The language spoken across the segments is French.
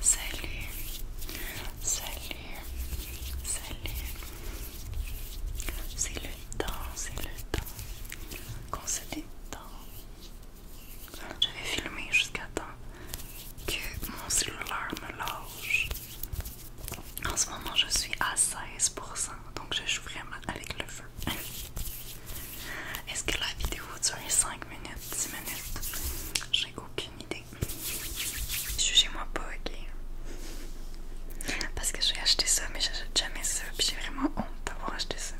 Salut, salut, salut. C'est le temps, c'est le temps qu'on se détend. Je vais filmer jusqu'à temps que mon cellulaire me lâche. En ce moment, je suis à 16%, donc je joue vraiment avec le feu. Est-ce que la vidéo durer 5 minutes, 10 minutes? J'ai aucune idée. Jugez-moi pas, ok? Parce que j'ai acheté ça, mais j'achète jamais ça, j'ai vraiment honte d'avoir acheté ça.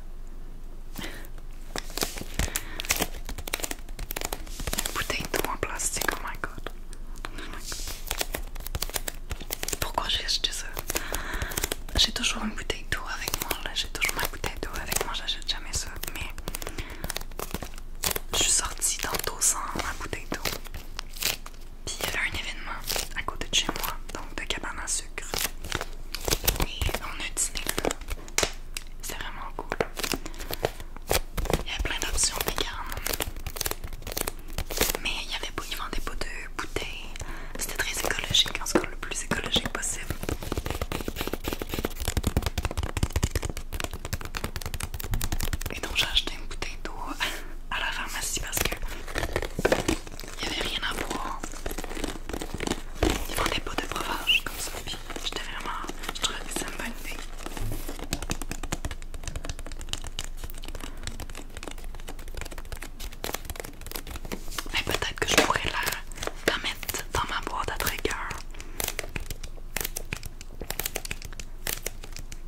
Une bouteille d'eau en plastique, oh my god. Pourquoi j'ai acheté ça? J'ai toujours une bouteille d'eau avec moi, j'ai toujours ma bouteille d'eau avec moi, j'achète jamais ça je suis sortie dos sans ma bouteille d'eau. Puis il y avait un événement à côté de chez moi, donc de cabane à sucre. Et on a dîné là. C'est vraiment cool. Il y avait plein d'options véganes. Mais il y avait ils vendaient pas de bouteilles. C'était très écologique, en ce cas le plus écologique possible. Et donc j'ai acheté une bouteille d'eau à la pharmacie parce que il n'y avait rien à boire. Ils vendaient pas de breuvage comme ça. j'étais vraiment. Je trouvais que c'est une bonne idée. Mais peut-être que je pourrais la dans ma boîte à trigger.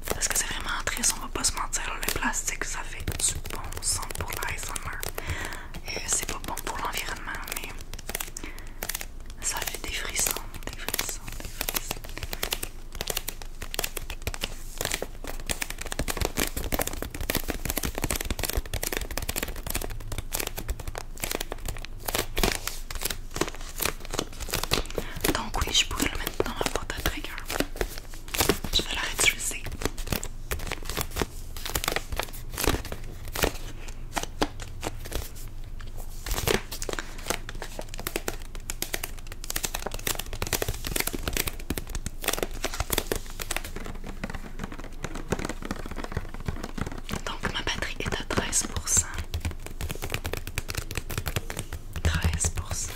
Parce que c'est vraiment triste, on va pas se mentir, le plastique ça fait du bon sens pour l'ASMR. Et euh, c'est pas bon pour l'environnement, mais ça fait des frissons, des frissons, des frissons. Donc oui, je pourrais le mettre dans ma porte à trigger. Je vais la réutiliser. Donc ma batterie est à 13%. 13%.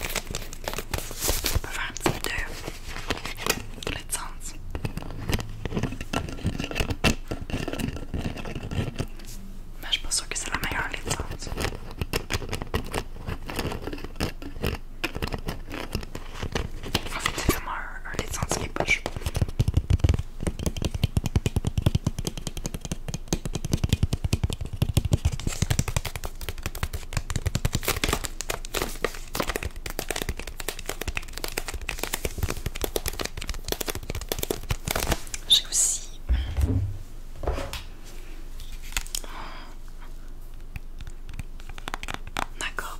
On peut faire un petit lait de sens. Mais je suis pas sûre que c'est la meilleure licence. En fait, c'est vraiment un, un dessin sur les poches. J'ai aussi D'accord,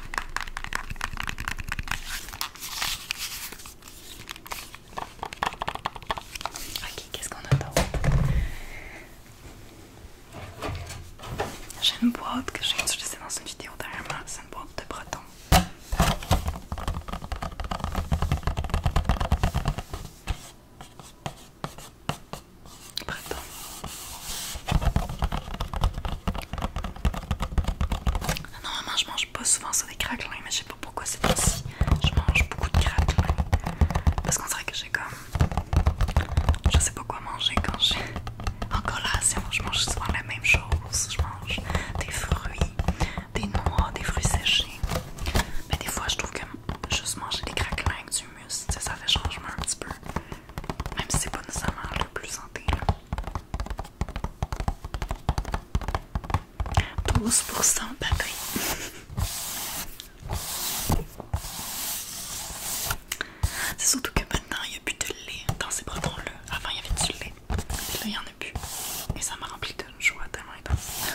Ok, qu'est-ce qu'on a attend J'ai une boîte que j'ai utilisée dans une vidéo derrière moi, c'est une boîte de bretons. Breton. Normalement, je mange pas souvent ça des craquelins, mais je sais pas pourquoi c'est ainsi. Je mange beaucoup de craquelins parce qu'on dirait que j'ai comme. Je sais pas quoi manger quand j'ai. En collation, je mange souvent la même chose. Je mange des fruits, des noix, des fruits séchés. Mais des fois, je trouve que juste manger des craquelins avec du mousse, ça fait changement un petit peu. Même si c'est pas nécessairement le plus 12% batterie. C'est surtout que maintenant il n'y a plus de lait dans ces bretons-là. Avant il y avait du lait, et là il n'y en a plus. Et ça m'a rempli de joie tellement intense.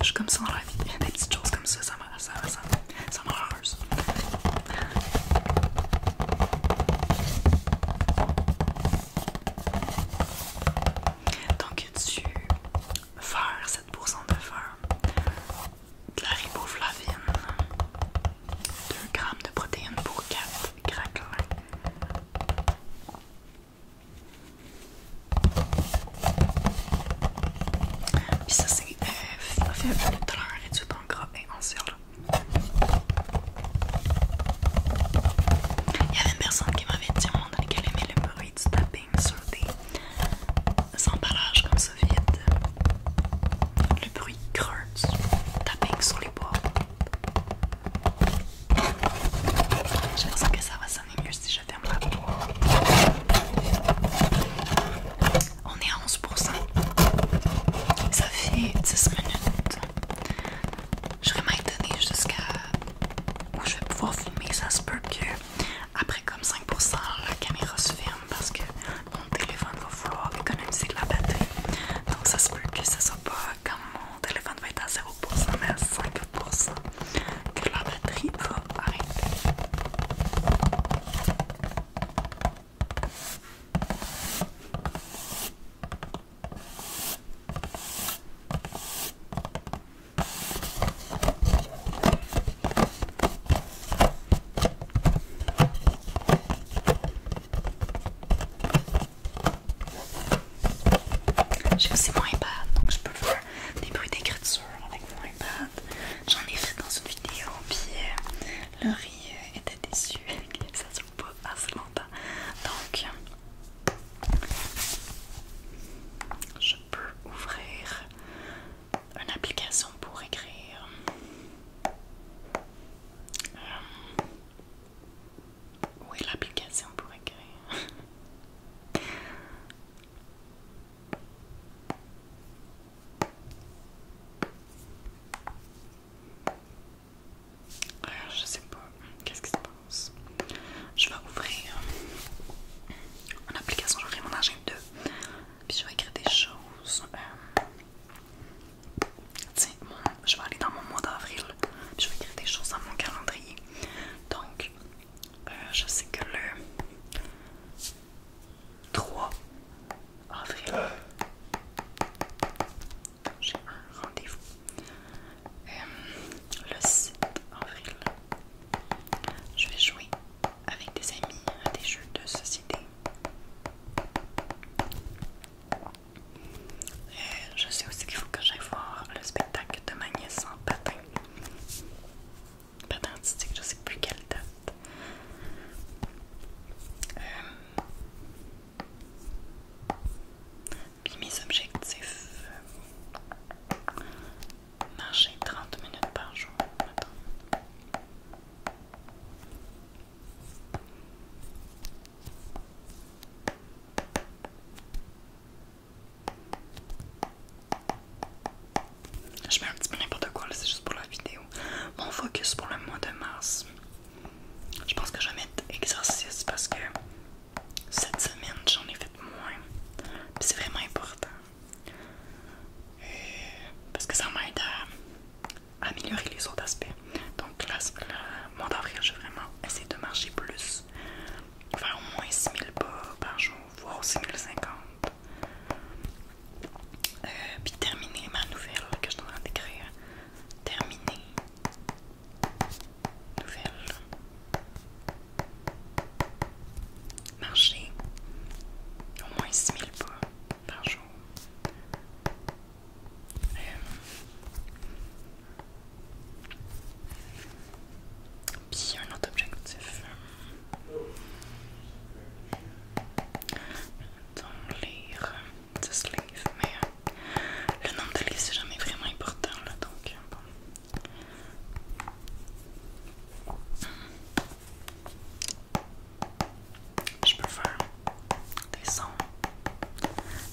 Je suis comme ça dans la vie. Des petites choses comme ça, ça me, ça ça me rend heureuse. Donc, du fer, 7% de fer, de la riboflavine, 2 g de protéines pour 4 craquelins. Puis ça c'est euh, fait le et réduit en gras et en surle. Il y avait une personne qui m'avait dit au moment dans aimait le bruit du tapping sur des emballages comme ça vide. Le bruit creux du tapping sur les bois. J'espère que ça va on est à 11%. Ça fait 10 minutes. Je vais m'étonner jusqu'à où je vais pouvoir filmer. Ça se peut que après comme 5% la caméra se ferme parce que mon téléphone va vouloir économiser de la batterie. Donc ça se peut que ce soit pas comme mon téléphone va être à 0% mais à 5% que la batterie va arrêter. J'ai aussi mon iPad, donc je peux faire des bruits d'écriture avec vous. J'en ai fait dans une vidéo, puis euh, le Laurie euh, était déçu que ça à ce assez longtemps. Donc, je peux ouvrir une application pour écrire. Euh, où est l'application pour écrire euh, je sais pas qu'est-ce qui se passe. Je vais ouvrir mon application, je mon agenda, puis je vais écrire des choses. Euh, tiens, je vais aller dans mon mois d'avril, puis je vais écrire des choses dans mon calendrier. Donc, euh, je sais que le 3 avril, j'ai un rendez-vous. Euh, le 7 avril, je vais jouer avec des amis à des jeux de société. Et euh, je sais aussi qu'il faut que j'aille voir le spectacle de ma sans en patin. Pas que je sais plus quelle date. Euh, puis mes objectifs euh, marcher 30 minutes par jour. Je mets un petit peu n'importe quoi, c'est juste pour la vidéo. Mon focus pour le mois de mars. Je pense que je vais mettre exercice parce que cette semaine j'en ai fait moins. C'est vraiment important. Euh, parce que ça m'aide à, améliorer les autres aspects. Donc là, le mois d'avril, je vais vraiment essayer de marcher plus. Faire au moins 6000 pas par jour, voire 6050. Euh, puis terminer ma nouvelle que je dois d'écrire. Terminer. Nouvelle. Marcher au moins 6000 pas par jour. Euh. puis un autre objectif. Donc, lire, de se mais euh, le nom de livres c'est jamais vraiment important là donc euh, Je peux faire des sons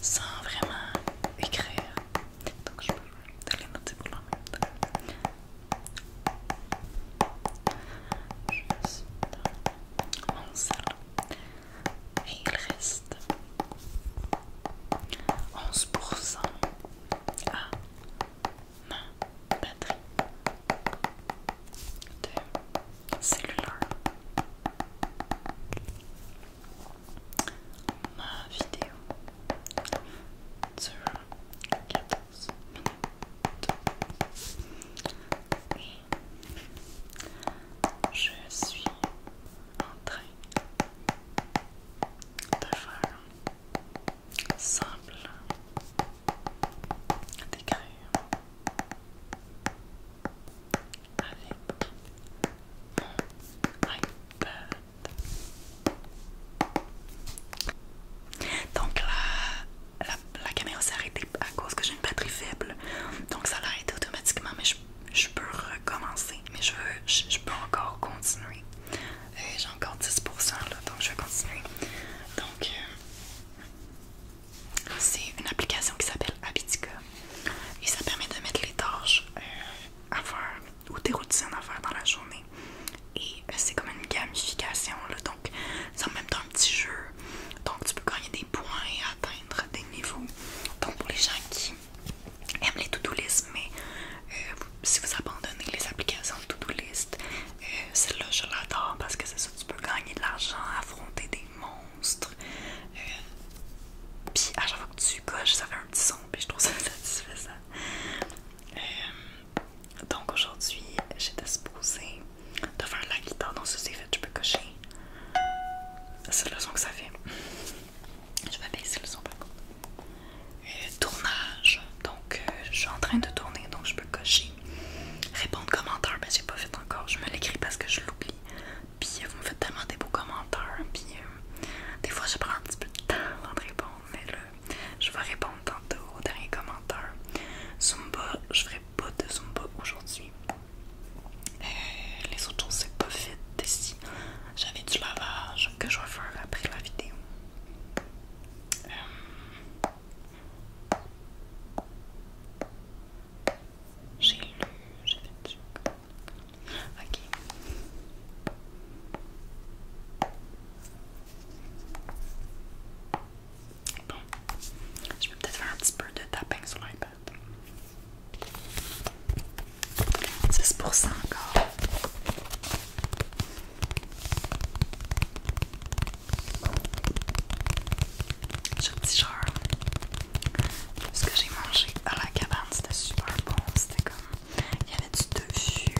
sans vraiment écrire donc je peux les noter pour la je suis dans mon salon et il reste 11% à ma batterie de cellulaire. Ma vidéo 14 minutes. je suis en train de faire simple d'écrire avec mon iPad donc la, la, caméra s'est arrêtée à cause que j'ai une batterie faible. Donc ça l'a arrêté automatiquement, mais je, peux recommencer. Mais je, veux, je, peux encore continuer. j'ai encore 10% là, donc je vais continuer. Donc euh, c'est une application qui s'appelle Habitica. Et ça permet de mettre les torches euh, à faire ou des routines à faire dans la journée. Et euh, c'est comme une gamification, là. donc c'est en même temps un petit jeu. Donc tu peux gagner des points et atteindre des niveaux. Donc pour les gens qui aiment les to-do list, mais euh, si vous abandonnez les applications de to-do list, euh, celle-là je l'adore parce que c'est ça, tu peux gagner de l'argent, affronter des monstres. puis à chaque fois que tu coches, ça fait un petit son, et je trouve ça satisfaisant. Euh, donc aujourd'hui, j'ai disposé de faire la guitare. Donc ça c'est fait, je peux cocher. C'est le son que ça fait. Je vais baisser le son par contre. Euh, tournage. Donc euh, je suis en train de tourner, donc je peux cocher. Répondre commentaires, ben j'ai pas fait encore. Je me l'écris parce que je l'oublie. Puis vous me faites tellement de beaux commentaires. Puis des fois je prends un petit peu de temps avant répondre. Mais là, je vais répondre tantôt aux derniers commentaires. Zumba, je ferai pas de Zumba aujourd'hui. Euh, les autres choses, c'est pas fait. d'ici. J'avais du lavage que je vais faire après la vidéo. Euh, j'ai lu, j'ai fait du... Ok. Bon, je vais peut-être faire un petit peu de tapping sur l'iPad. 16% encore. J'ai un petit genre. Ce que j'ai mangé à la cabane, c'était super bon. C'était comme il y avait du dessus,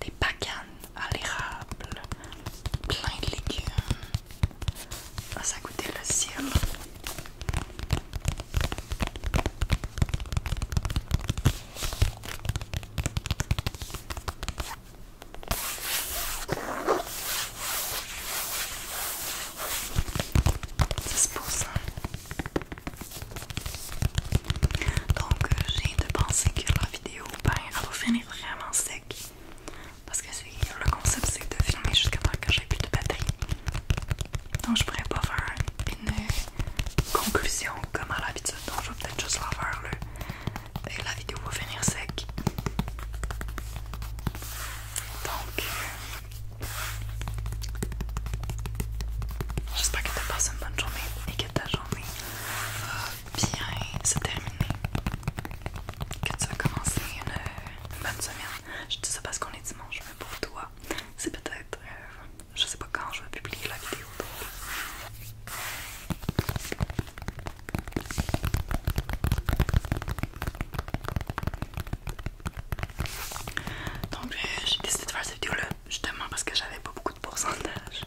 des bacanes à l'érable, plein de légumes. ça ah, ça goûtait le ciel. C'est pour ça. Donc, euh, j'ai de penser que la vidéo, ben, va finir vraiment sec. Parce que le concept, c'est de filmer jusqu'à temps que j'ai plus de batterie. Donc, je pourrais pas faire une conclusion comme à l'habitude. Donc, je vais peut-être juste la faire Et la vidéo va finir sec. Donc, euh, j'espère que tu passes une bonne journée et que ta journée va bien se terminer. Que tu vas commencer une, bonne semaine. Je dis ça parce qu'on est dimanche, mais pour toi, c'est peut-être. Euh, je sais pas quand je vais publier la vidéo. Donc, euh, j'ai décidé de faire cette vidéo-là justement parce que j'avais pas beaucoup de pourcentage.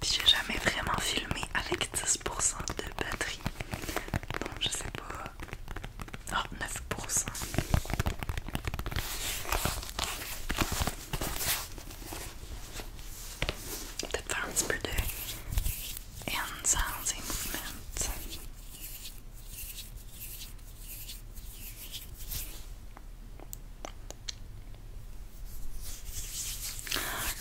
Puis j'ai jamais vraiment filmé avec 10% de batterie. Donc je sais pas. 9%. Ah, Peut-être faire un petit peu de hand sounds movement.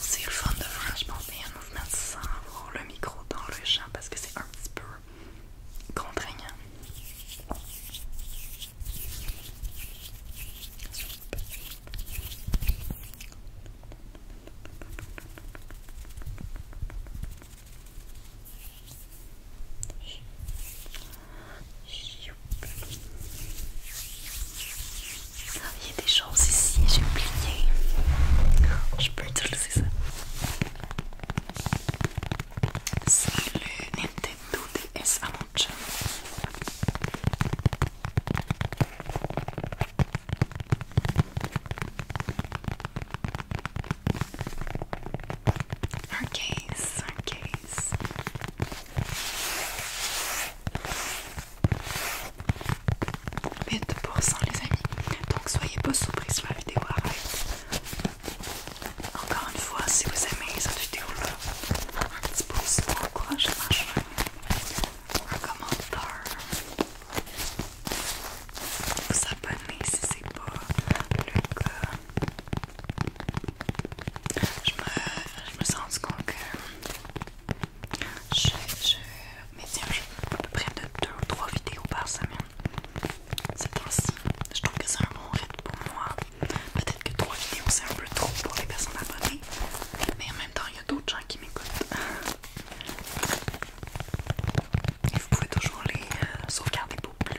C'est le fun de franchement je un mouvement sans avoir le micro dans le champ parce que c'est un petit peu contraignant il y a des choses ici, j'ai oublié. Je peux utiliser ça. C'est le Nintendo DS à un case, un case. Mais les amis. Donc soyez pas surpris sur la vidéo arrive. Encore une fois, si vous aimez cette vidéo-là, un petit pouce pour Un commentaire. Vous abonnez si c'est pas le cas. Je me, je me sens compte que je, je à peu près de 2 ou 3 vidéos par semaine. C'est temps je trouve que c'est un bon rythme pour moi. Peut-être que 3 vidéos c'est un peu trop pour les personnes abonnées, mais en même temps, il y a d'autres gens qui m'écoutent. Et vous pouvez toujours les euh, sauvegarder pour plus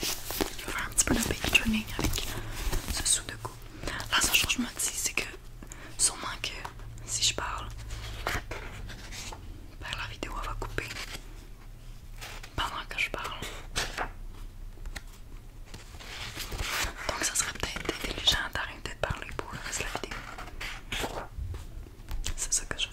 Je vais faire un petit peu de baby avec ce sous de cou. La seule chose que je me dis, c'est que sûrement que si je parle, ben, la vidéo va couper pendant que je parle. Donc ça serait peut-être intelligent d'arrêter de parler pour le reste de la vidéo. C'est ça que je fais.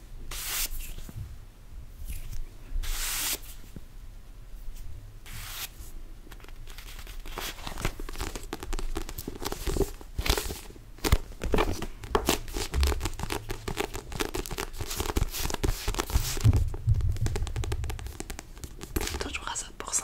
Toujours à ça pour ça.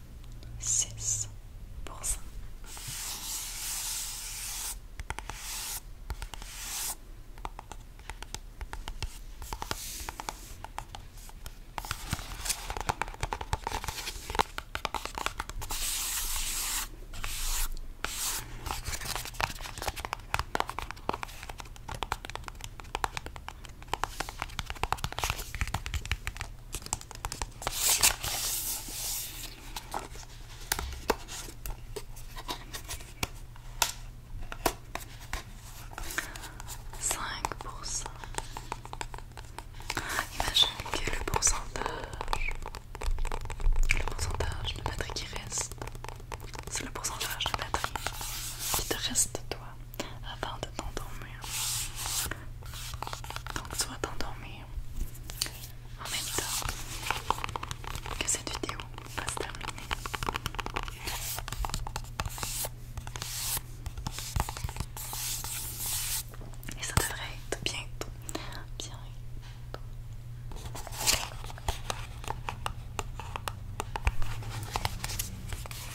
6%. Cinq pour cent. Imagine quel le pourcentage, le pourcentage de batterie qui reste, c'est le pourcentage de batterie qui te reste toi. Avant de t'endormir. Donc soit t'endormir en même temps que cette vidéo va se terminer. Et ça devrait être bientôt. Bientôt.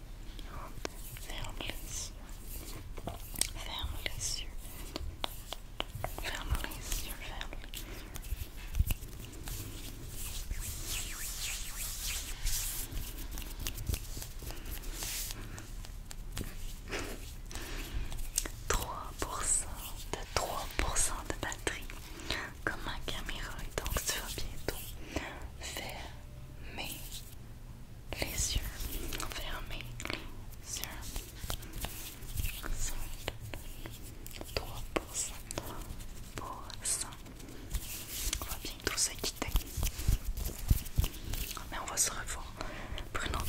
Ferme les yeux. Ferme les yeux. Ferme les yeux. Ferme les yeux. Trois 3% de 3% de batterie, comme ma caméra, donc tu vas bientôt faire mais les yeux on va fermés, les yeux sont 3% On va bientôt se quitter. Mais on va se revoir pour une autre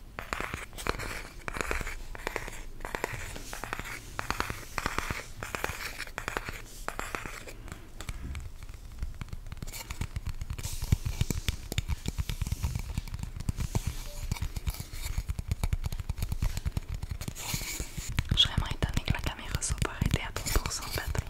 Je suis vraiment étonnée que la caméra soit pas arrêtée à 30% de batterie.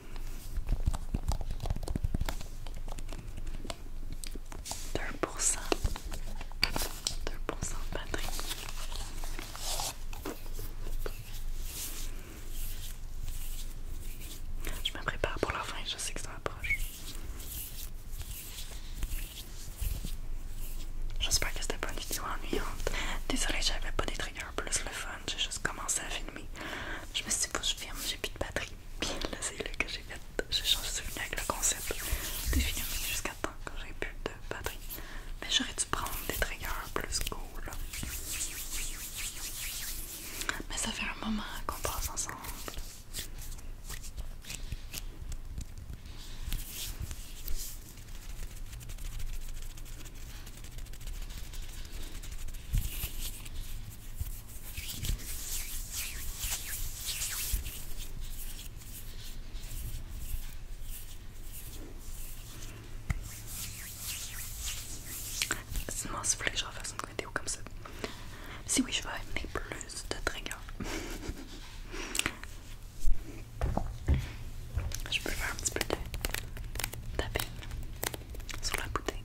2 2 batterie. Je me prépare pour la fin, je sais que ça approche. J'espère que c'était pas une vidéo ennuyante. Désolée, j'avais pas des triggers plus le fun, j'ai juste commencé à filmer. Je me suis dit, faut je filme, j'ai plus de batterie bien c'est le que j'ai fait. J'ai changé de souvenir avec le concept des films jusqu'à temps quand j'ai plus de batterie. Mais j'aurais dû prendre des triggers plus cool. Mais ça fait un moment qu'on passe ensemble. C'est si vous voulez que je refasse une vidéo comme ça, si oui, je vais amener plus de triggers. je peux faire un petit peu de tapping sur la bouteille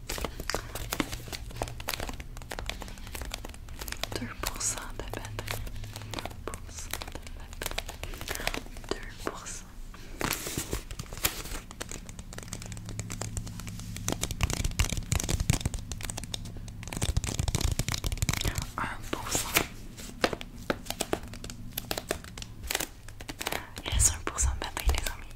cent de batterie. cent de batterie. cent Un pour cent. un pour 1% de batterie les amis.